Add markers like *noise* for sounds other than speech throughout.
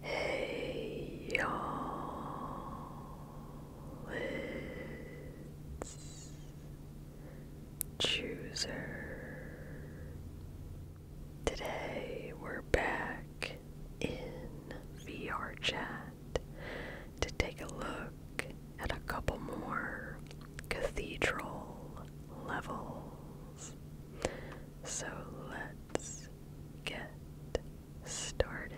Hey y'all, it's Chooser. Today we're back in VR to take a look at a couple more cathedral level so let's get started.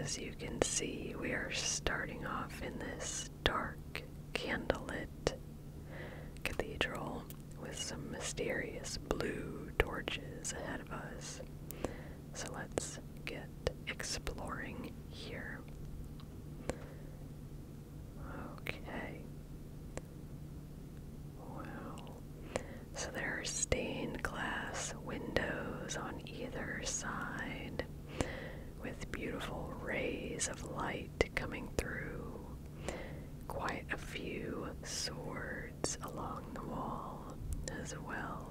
As you can see, we are starting off in this dark, candlelit cathedral with some mysterious blue torches ahead of us. So let's get exploring here. Okay. Wow. So there are stained glass windows on either side with beautiful rays of light coming through. Quite a few swords along the wall as well.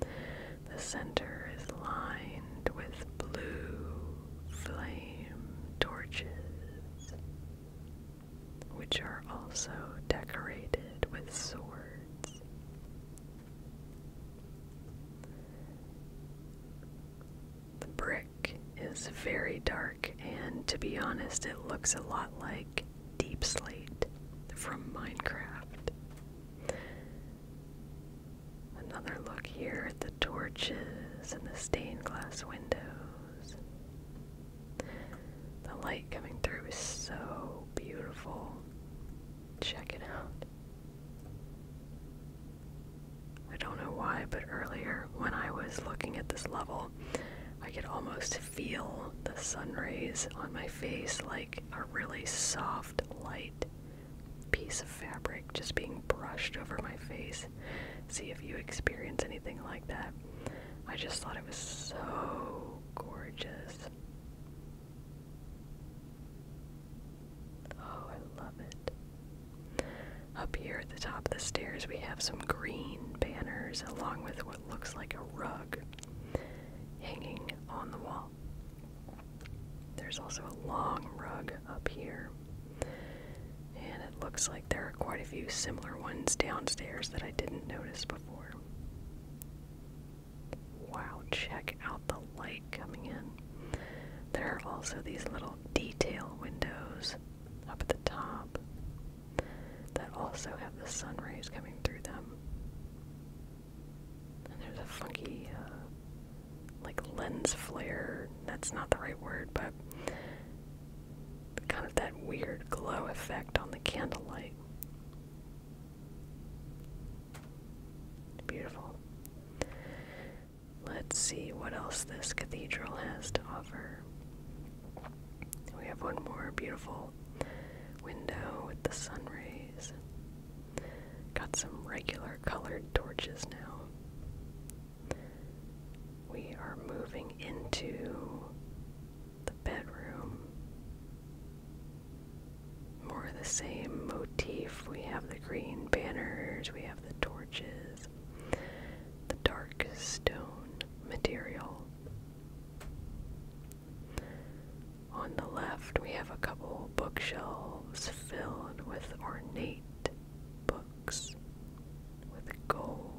The center is lined with blue flame torches which are also decorated with swords. The brick is very dark, and to be honest, it looks a lot like Deep Slate from Minecraft. Another look here at the torches and the stained glass window. The light coming through is so beautiful. Check it out. I don't know why, but earlier when I was looking at this level, I could almost feel the sun rays on my face like a really soft, light piece of fabric just being brushed over my face see if you experience anything like that. I just thought it was so gorgeous. Oh, I love it. Up here at the top of the stairs, we have some green banners along with what looks like a rug hanging on the wall. There's also a long rug up here. And it looks like there are quite a few similar ones downstairs that I didn't notice before. Wow, check out the light coming in. There are also these little detail windows up at the top that also have the sun rays coming through them. And there's a funky, uh, like lens flare. That's not the right word, but kind of that weird glow effect on the candlelight. Beautiful. Let's see what else this cathedral has to offer. We have one more beautiful window with the sun rays. Got some regular colored torches now. We are moving into the bedroom. More the same motif. We have the green banners, we have the torches, the dark stone material. On the left, we have a couple bookshelves filled with ornate books with gold.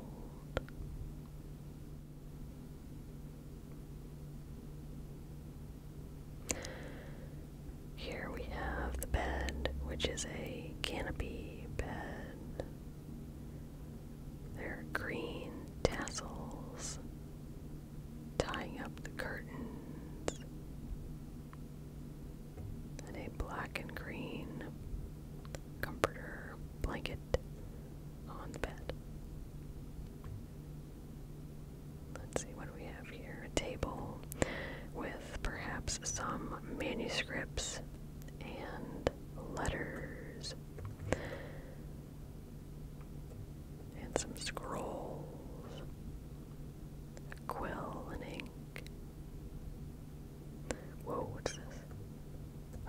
Here we have the bed, which is a canopy bed. There are green tassels tying up the curtains and a black and green comforter blanket on the bed. Let's see what do we have here. A table with perhaps some manuscripts and letters and some scrolls, a Whoa, what's this?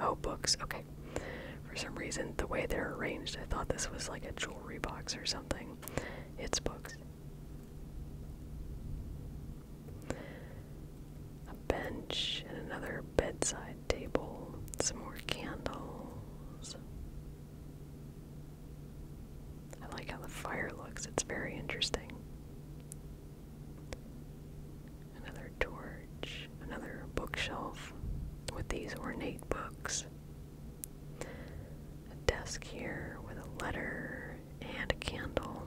Oh, books. Okay. For some reason, the way they're arranged, I thought this was like a jewelry box or something. It's books. A bench and another bedside table. Some more candles. I like how the fire looks. It's very interesting. Another torch, another bookshelf with these ornate books. A desk here with a letter and a candle.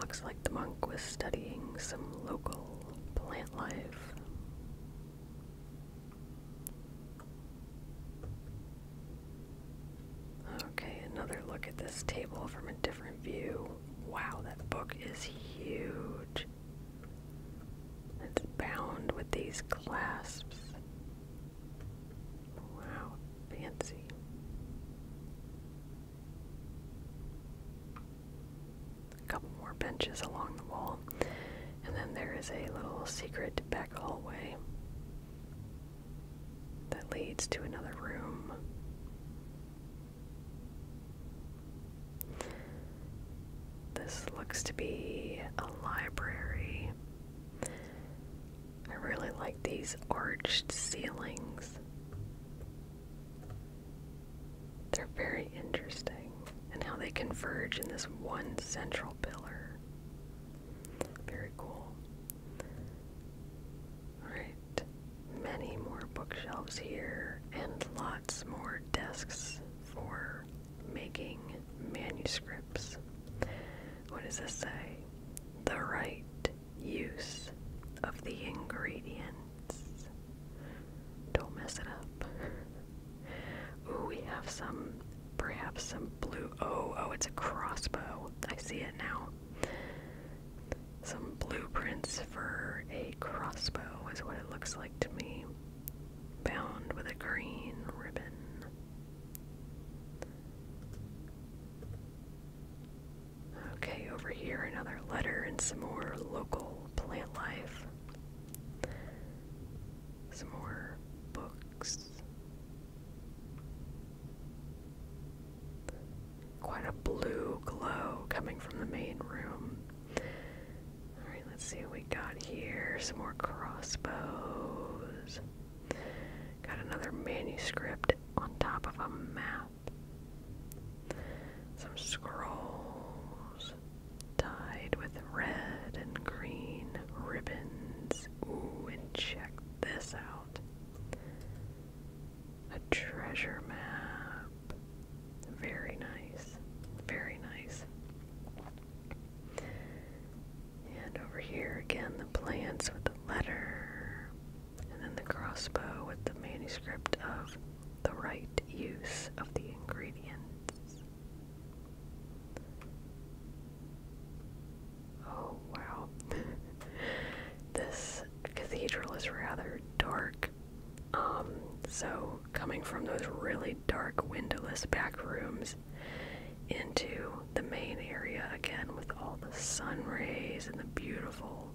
Looks like the monk was studying some local plant life. Okay, another look at this table from a different view. Wow, that book is huge. It's bound with these clasps. Wow, fancy. A couple more benches along the wall. And then there is a little secret back hallway that leads to another room. This looks to be a library. I really like these arched ceilings. They're very interesting, and how they converge in this one central pillar. Very cool. Alright, many more bookshelves here, and lots more desks for making manuscripts. What does this say? The right use of the ingredients. Don't mess it up. *laughs* Ooh, we have some, perhaps some blue. Oh, oh, it's a crossbow. I see it now. Some blueprints for a crossbow is what it looks like to me, bound with a green ribbon. Okay, over here another letter and some more local plant life. Some more books. Quite a blue glow coming from the main room. Alright, let's see what we got here. Some more crossbows. Got another manuscript on top of a map. Some scrolls tied with red and green ribbons. Ooh, and check this out. A treasure map. Very nice. Very nice. And over here again, the plants with the letter. And then the crossbow with the manuscript of the right use of the ingredients. Oh wow. *laughs* this cathedral is rather dark. Um, so coming from those really dark windowless back rooms into the main area again with all the sun rays and the beautiful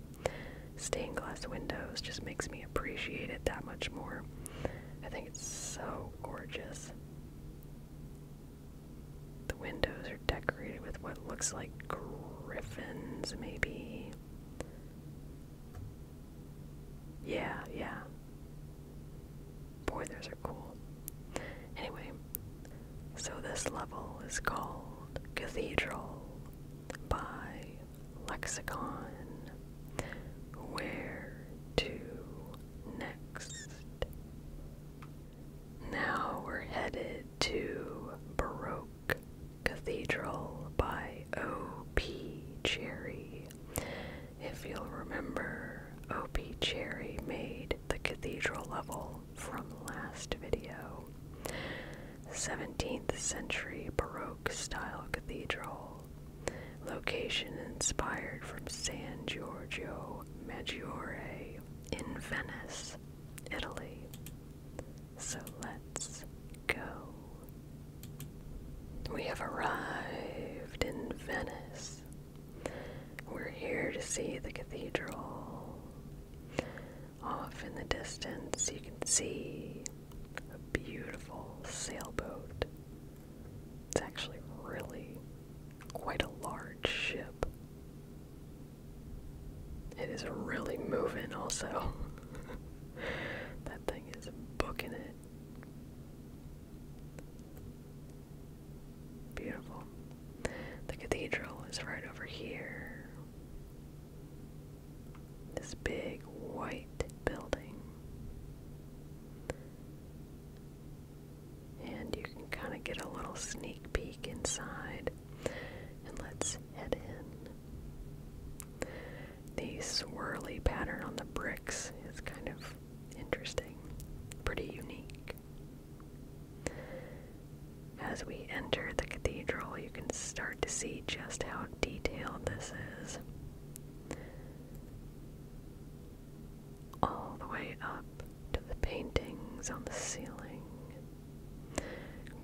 stained glass windows just makes me appreciate it that much more. I think it's so gorgeous. The windows are decorated with what looks like griffins, maybe. Yeah, yeah. Boy, those are cool. Anyway, so this level is called Cathedral by Lexicon. Where to next? Now we're headed to Baroque Cathedral by O.P. Cherry. If you'll remember, O.P. Cherry made the cathedral level from last video. 17th century Baroque style cathedral. Location inspired from San Giorgio Maggiore in Venice, Italy. So let's go. We have arrived in Venice. We're here to see the cathedral. Off in the distance, you can see a beautiful sailboat. It's actually really quite a large ship. It is really moving, also. *laughs* that thing is booking it. Beautiful. The cathedral is right over here. This big white building and you can kind of get a little sneak peek inside. And let's head in. The swirly pattern on the bricks is kind of interesting, pretty unique. As we enter the cathedral, you can start to see just how detailed this is all the way up to the paintings on the ceiling.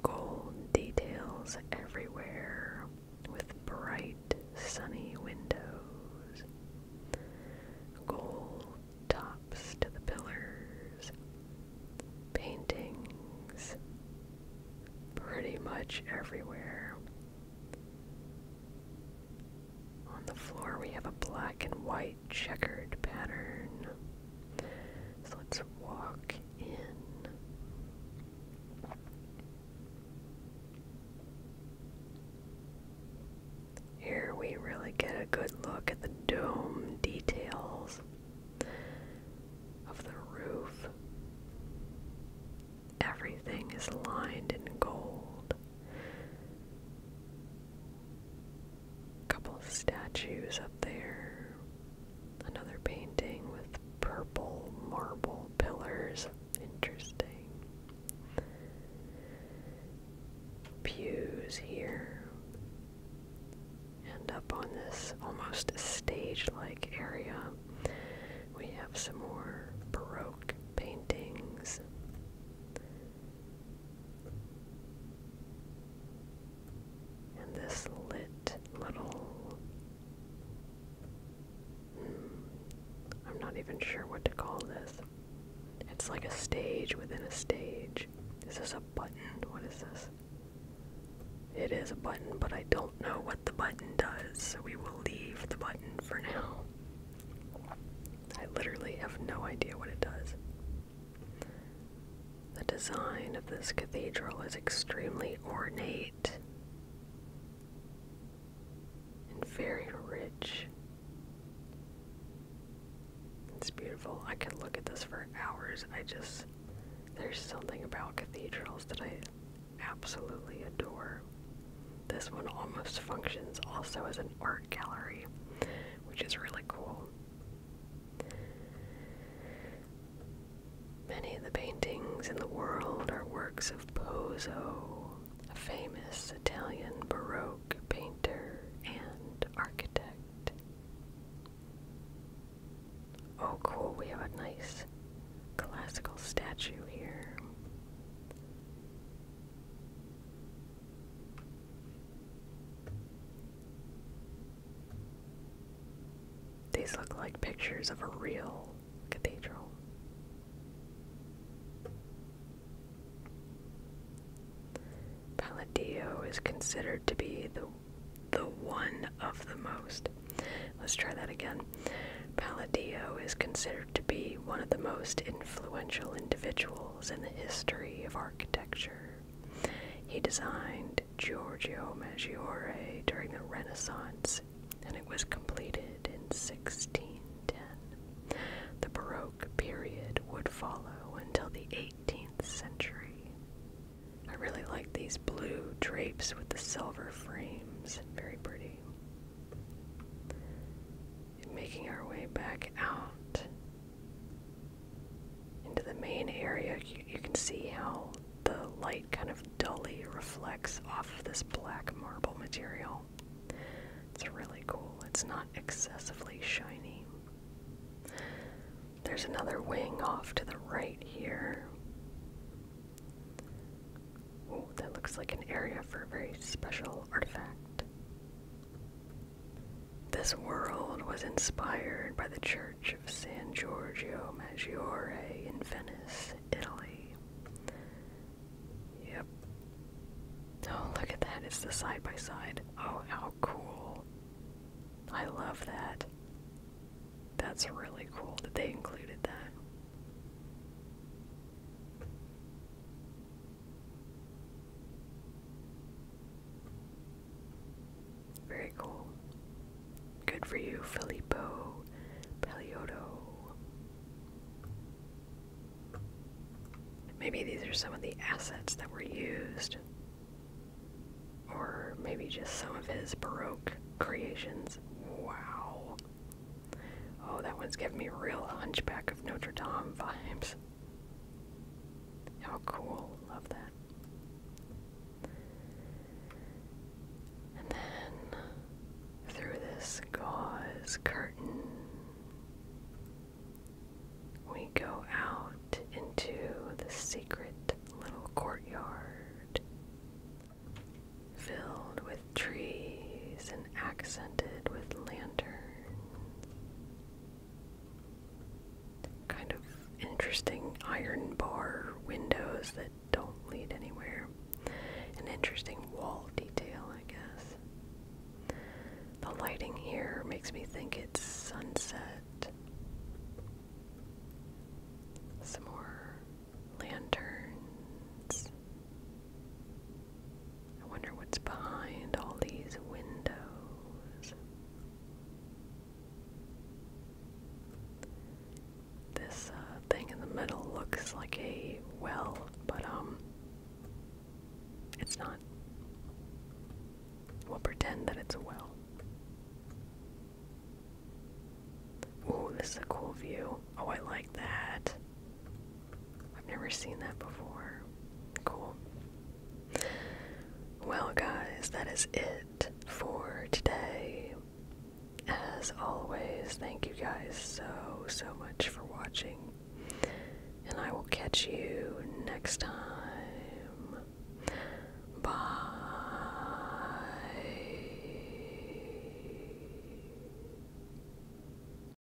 Gold details everywhere with bright sunny windows. Gold tops to the pillars. Paintings pretty much everywhere. On the floor, we have a black and white checkered pattern. So let's walk in. Here we really get a good look at the dome details of the roof. Everything is lined in gold a couple of statues up there, another painting with purple marble pillars. Interesting. Pews here. And up on this almost stage like area, we have some more Baroque paintings. And this lit little. Hmm, I'm not even sure what to call this. It's like a stage within a stage. Is this a button? What is this? It is a button, but I don't know what the button does, so we will leave the button for now. I literally have no idea what it does. The design of this cathedral is extremely ornate and very rich. It's beautiful. I could look at this for hours. I just, there's something about cathedrals that I absolutely adore. This one almost functions also as an art gallery which is really cool. Many of the paintings in the world are works of Pozzo, a famous Italian Baroque painter and architect. Oh, cool, we have a nice classical statue here. These look like pictures of a real cathedral. Palladio is considered to be the the one of the most. Let's try that again. Palladio is considered to be one of the most influential individuals in the history of architecture. He designed Giorgio Maggiore during the Renaissance, and it was completed in 1610. The Baroque period would follow until the 18th century. I really like these blue drapes with the silver frames, very pretty making our way back out into the main area, you, can see how the light kind of dully reflects off of this black marble material. It's really cool. It's not excessively shiny. There's another wing off to the right here. Oh, that looks like an area for a very special artifact. This world was inspired by the Church of San Giorgio Maggiore in Venice, Italy. Yep. Oh, look at that. It's the side by side. Oh, how cool. I love that. That's really cool that they included that. Very cool. Good for you, Filippo Pelioto. Maybe these are some of the assets that were used, or maybe just some of his Baroque creations. Wow. Oh, that one's giving me real Hunchback of Notre Dame vibes. How cool. Love that. And then through this gauze curtain, we go out into the secret little courtyard filled with trees and accented with lanterns kind of interesting iron bar windows that don't lead anywhere. An interesting wall detail, I guess. The lighting here makes me think it's sunset. Some more lanterns. I wonder what's behind all these windows. This uh, thing in the middle looks like a well, but um, it's not. We'll pretend that it's a well. Ooh, this is a cool view. Oh, I like that. I've never seen that before. Cool. Well, guys, that is it for today. As always, thank you guys so, so much for watching. And I will catch you next time. Bye.